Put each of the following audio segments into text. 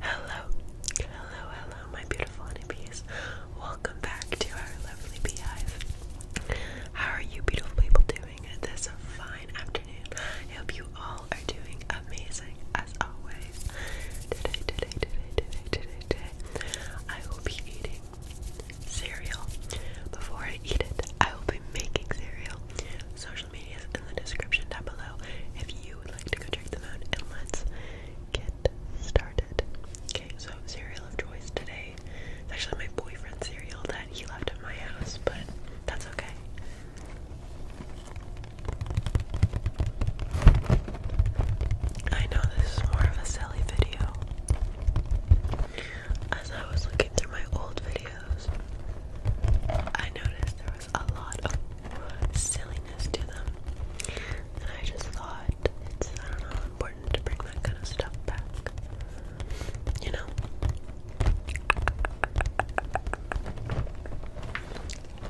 Hello, hello, hello, my beautiful honeybees. Welcome back to our lovely beehive. How are you, beautiful people, doing this fine afternoon? I hope you all are doing amazing as always. Today, today, today, today, today, today, I will be eating cereal. Before I eat it, I will be making cereal. So in the description down below if you would like to go check them out. And let's get started. Okay, so cereal of choice today. It's actually my boyfriend's cereal that he left at my house, but that's okay. I know this is more of a silly video. As I was looking through my old videos, I noticed there a lot of silliness to them. And I just thought it's, important to bring that kind of stuff back. You know?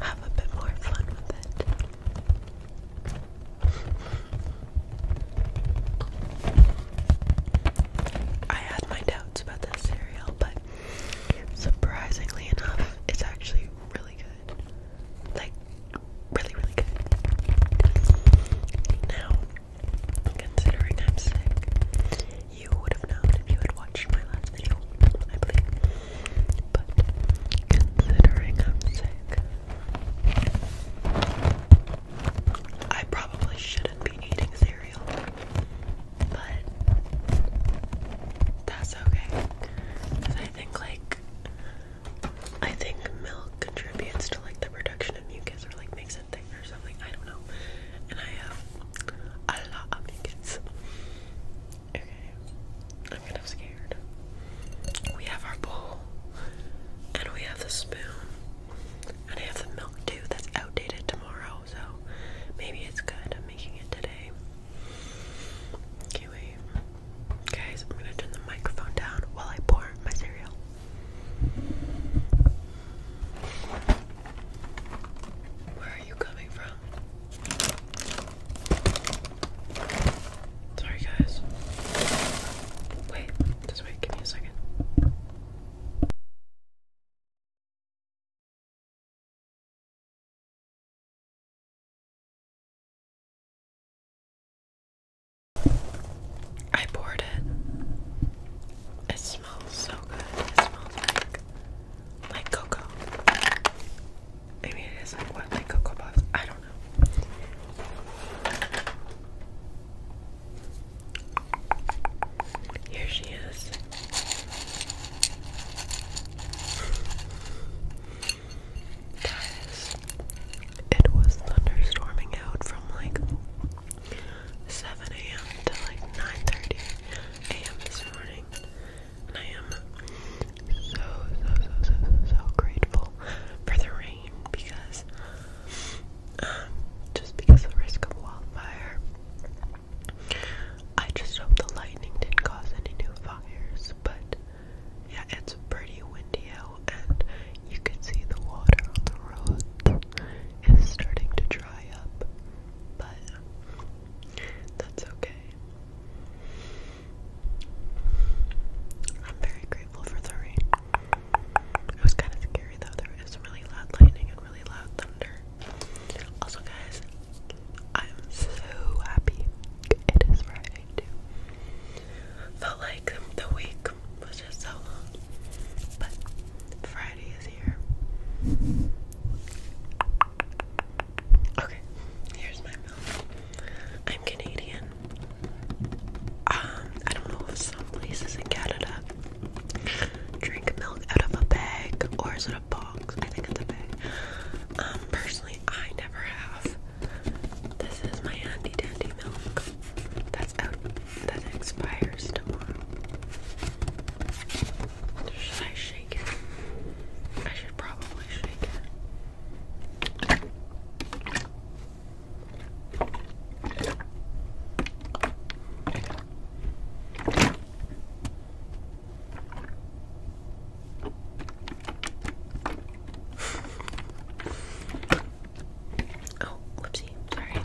Have a bit more fun with it. I had my doubts about this cereal, but Surprisingly enough, it's actually really good. Like, really, really good. Now, considering I'm sick, you would have known if you had watched my last video, I believe. But considering I'm sick, I probably shouldn't be eating cereal but that's okay. I think like I think milk contributes to like the production of mucus or like makes it thicker or something. I don't know. And I have um, a lot of mucus. Okay. I'm kind of scared. We have our bowl and we have the spoon. And I have the milk too that's outdated tomorrow so maybe it's good. I'm making it today. Okay, Guys, I'm gonna turn the microphone down while I pour my cereal. Where are you coming from? Sorry, guys. Wait, just wait, give me a second. I poured it. It smells so good. It smells like like cocoa. I mean, it is like what, like cocoa puffs? I don't know. Here she is. Guys, it was thunderstorming out from like 7 a.m. to like 9:30 a.m. this morning, and I am so so so so so grateful for the rain because um, just because of risk of wildfire. I just hope the lightning didn't cause any new fires, but yeah, it's pretty windy out, and you can see the water on the road is starting to dry up, but that's okay. I'm very grateful for the rain. It was kind of scary though. There was really loud lightning and really loud thunder. Also, guys, I'm so happy it is Friday too. Felt like the week was just so long, but Friday is here. Okay, here's my milk. I'm Canadian. Um, I don't know if some places in Canada drink milk out of a bag or is it a box? I think it's a bag. Um, personally, I never have. This is my handy dandy milk. That's out. That expires tomorrow. Should I shake it? I should probably shake it oh, whoopsie, sorry.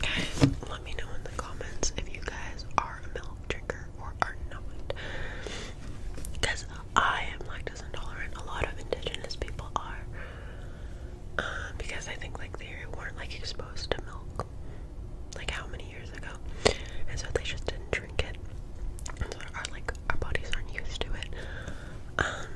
Guys, let me know in the comments if you guys are a milk drinker or are not. Because I am lactose intolerant. A lot of indigenous people are. Um, because I think like they weren't like exposed to milk like how many years ago. And so they just didn't drink it. so our like our bodies aren't used to it. Um,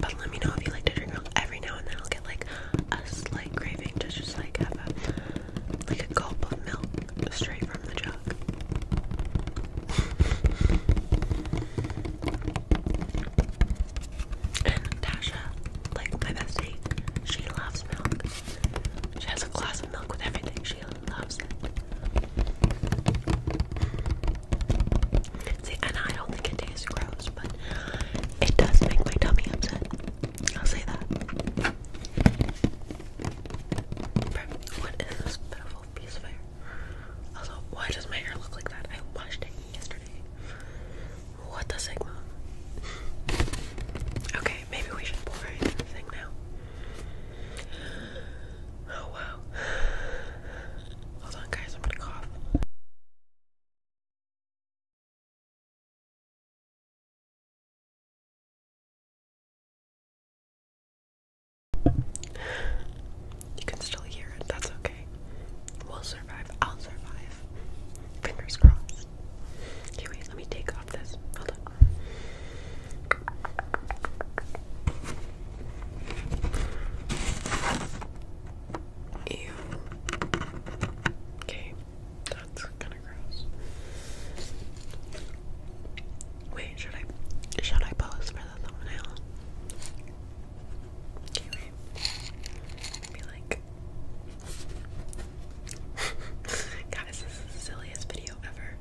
but let me know if you like to drink milk every now and then I'll get like a slight craving to just like have a like a gulp of milk straight from the jug. Tasha, like my bestie, she loves milk. She has a glass of milk with everything. She loves it. and I don't think it tastes gross, but it does make my tummy upset. I'll say that. What is this bit piece of hair. why does my hair look like that? I washed it yesterday. What the sigma? okay, maybe we should pour in now. Oh wow. Hold on, guys, I'm gonna cough. You can still hear it, that's okay. We'll survive, I'll survive. Fingers crossed. Okay, wait, let me take off this. Hold on. Ew. Okay, that's gonna Wait, should I should I pose for the thumbnail? Be like Guys, this is the silliest video ever.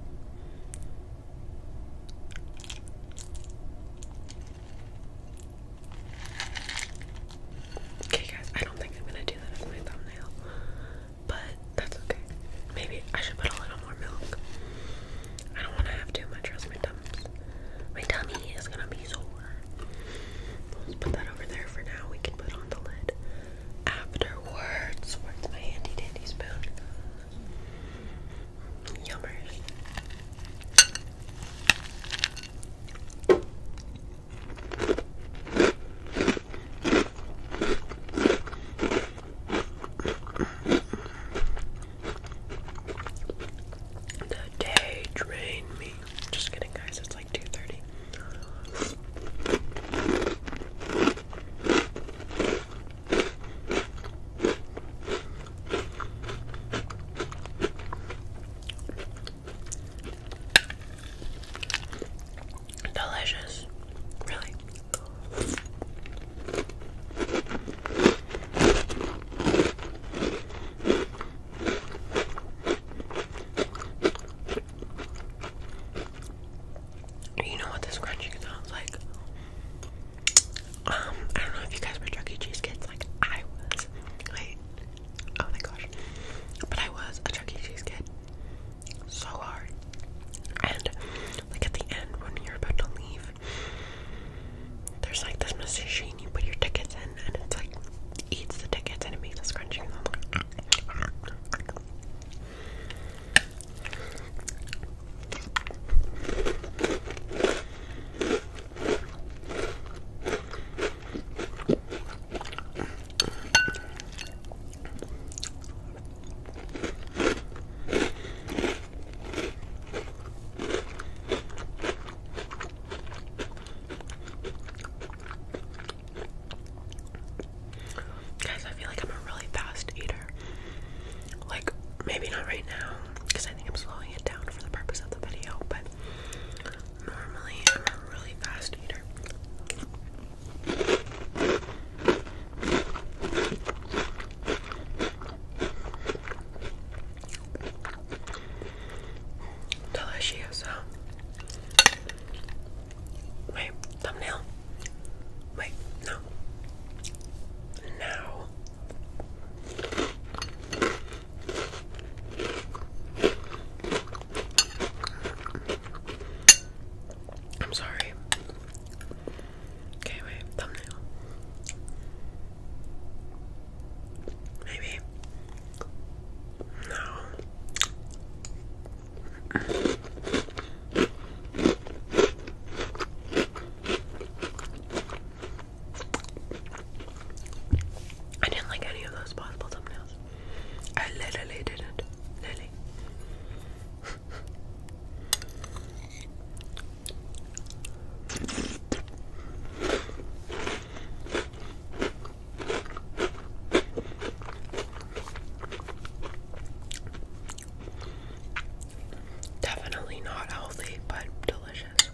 Okay guys, I don't think I'm gonna do that as my thumbnail but that's okay. Maybe I should put a little more milk. I don't want to have too much, or my dumps. My tummy is gonna be sore. Let's put that over there for now. We can put on the lid afterwards. Where's my handy dandy spoon? Yummers. The day drained me. Just kidding, guys. It's like 2:30. Delicious. Really. You know what this crunching sounds like? Um, I don't know if you guys were Chuck Cheese kids, like I was. Wait. Oh my gosh. But I was a Chuck Cheese kid so hard. And look at the end when you're about to leave, there's like this machine you put your tickets in and it like eats the tickets and it makes a scrunching sound. Guys, I feel like I'm a really fast eater. Like, maybe not right now, because I think I'm slowing it down for the purpose of the video, but Normally, I'm a really fast eater. Delicious. Wait, thumbnail. Wait, no. Now. I'm sorry. Okay, wait, thumbnail. Maybe. No. I didn't like any of those possible thumbnails. I literally didn't. Lily. Definitely not healthy, but delicious.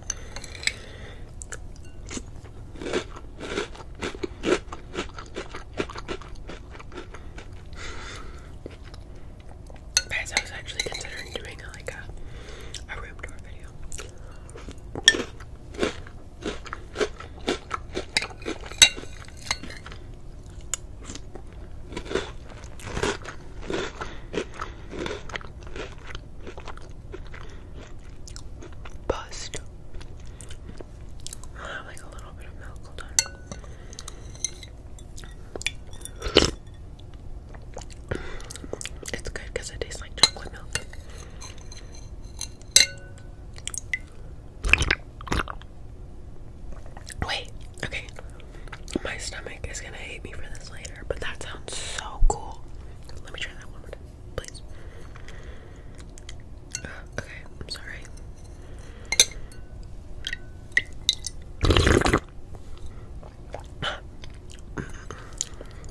I was actually considering doing like a, a room tour video bust. i have like a little bit of milk. Hold It's good because it tastes like chocolate milk. Wait, okay. My stomach is gonna hate me for this later, but that sounds so cool. Let me try that one more time, please. Uh, okay, I'm sorry.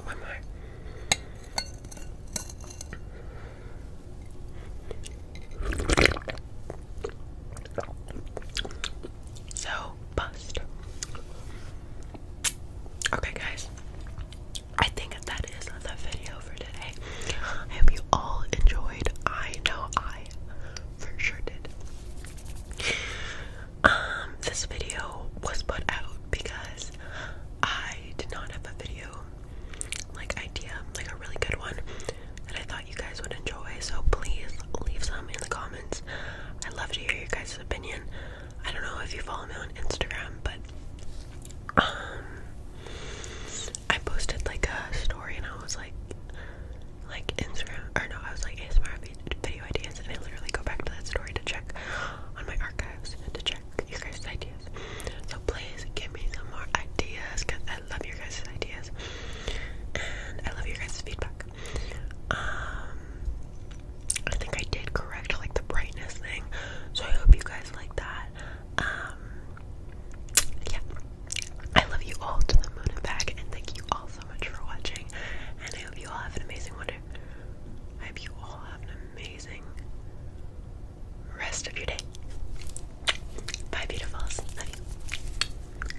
one more so bust. Okay, guys, I think that is the video for today. I hope you all enjoyed. I know I for sure did. Um, this video was put out because I did not have a video like idea, like a really good one that I thought you guys would enjoy. So please leave some in the comments. I'd love to hear your guys' opinion. I don't know if you follow me on Instagram, but um, I posted like a story and I was like, like Instagram, or no, I was like ASMR video ideas, and I literally go back to that story to check on my archives to check your guys' ideas. So please give me some more ideas because I love your guys' ideas and I love your guys' feedback. Um, I think I did correct like the brightness thing, so I hope you guys like that. Um, yeah, I love you all to the moon and back, and thank you all so much for watching. And I hope you all have an amazing wonder. I hope you all have an amazing rest of your day. Bye, beautifuls. Love you.